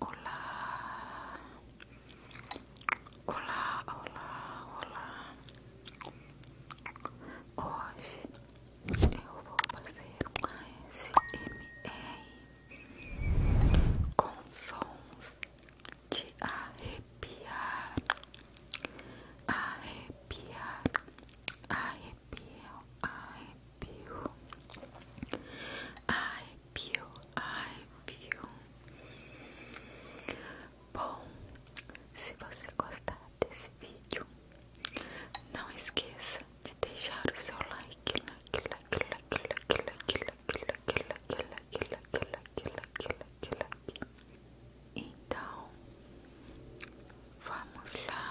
Olá, olá, olá, olá. Hoje eu vou fazer um ASMR com sons de arrepiar, arrepiar, arrepiar, arrepiar piu, Ai, piu, ai, piu, Bom, se você gostar desse vídeo, não esqueça de deixar o seu like, like, like, like, like, like, like, like, like, like, like, like, like, like. Então, vamos lá.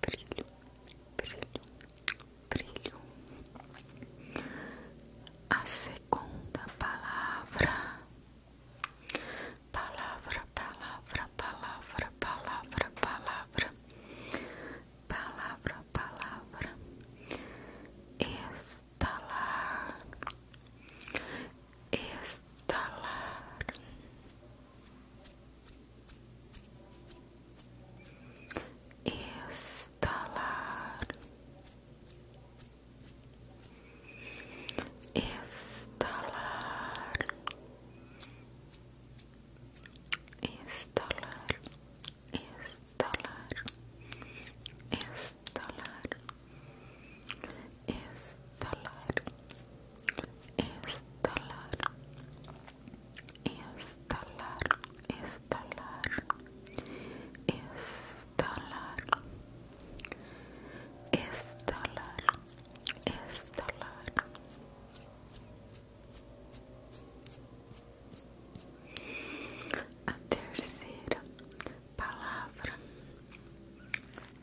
brilho, brilho, brilho. A segunda palavra, palavra, palavra, palavra, palavra, palavra, palavra, palavra, estalar, estalar. Estalar, estalar, estalar, estalar, estalar, estalar, estalar, estalar, estalar, estalar, estalar, estalar. A terceira palavra é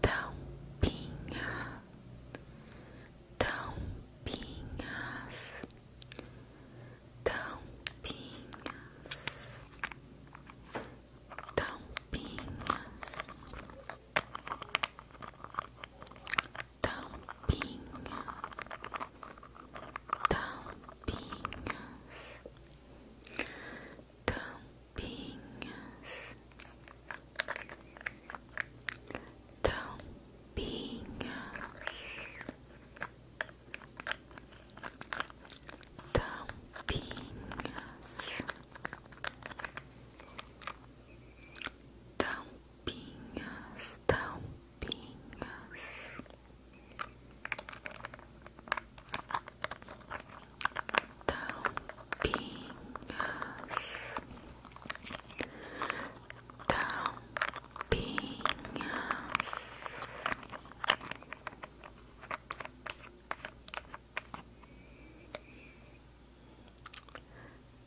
tampinha, tampinhas, tampinhas, tampinhas, tampinha, tampinhas tampinhas, tampinhas, tampinhas, tampinhas, tampinhas tão limpinhas. tão Tampinhas.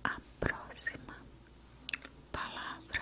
A próxima palavra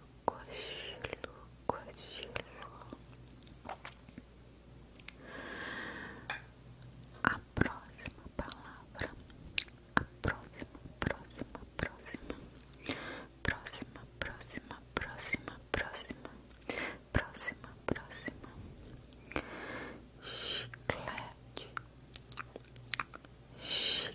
cochilo, cochilo. A próxima palavra, a próxima, próxima, próxima, próxima, próxima, próxima, próxima, próxima, próxima. Chiclete, chiclete.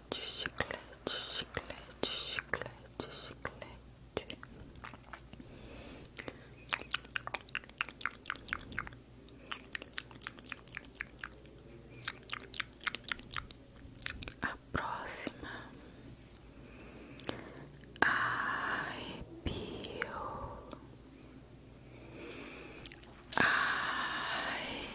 chiclete, chiclete, chiclete, chiclete. A próxima arrepio, arrepio,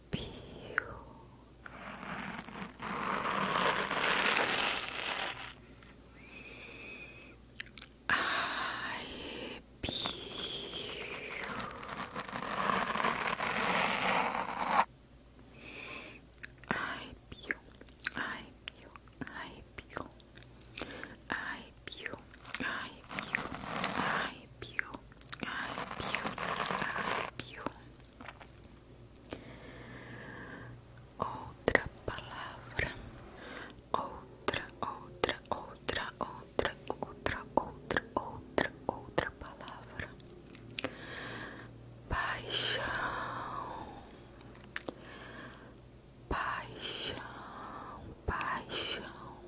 Pew. I pew. I pew. I pew. I pew. I pew. I pew. I pew. Arrepio, arrepio. Outra palavra, outra, outra, outra, outra, outra, outra, outra, outra palavra. Paixão, paixão, paixão,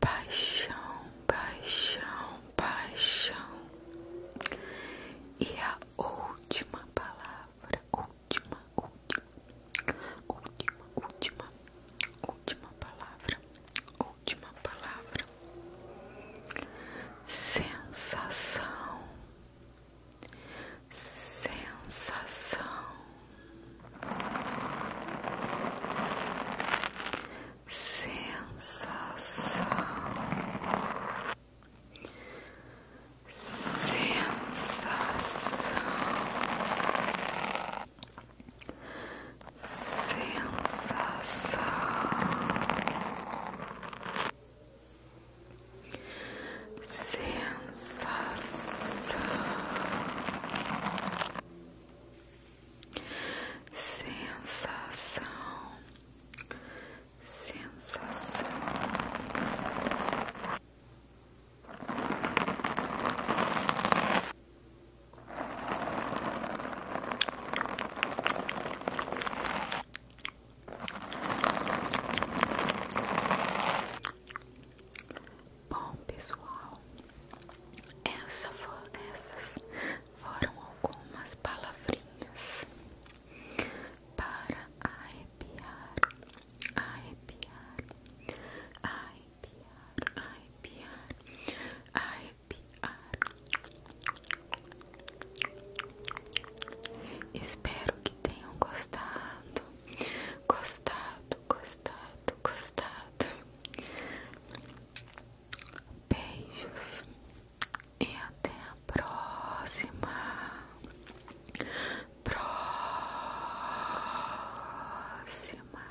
paixão, paixão, paixão. E a última palavra, última, última, última, última, última palavra, última palavra. Sensação, sensação sensação, sensação, sensação, sensação sensação, sensação. Bom pessoal, essa essas foram algumas palavrinhas para arrepiar, arrepiar, arrepiar, arrepiar, arrepiar. Espero que tenham gostado, gostado, gostado, gostado. Beijos e até a próxima. Próxima.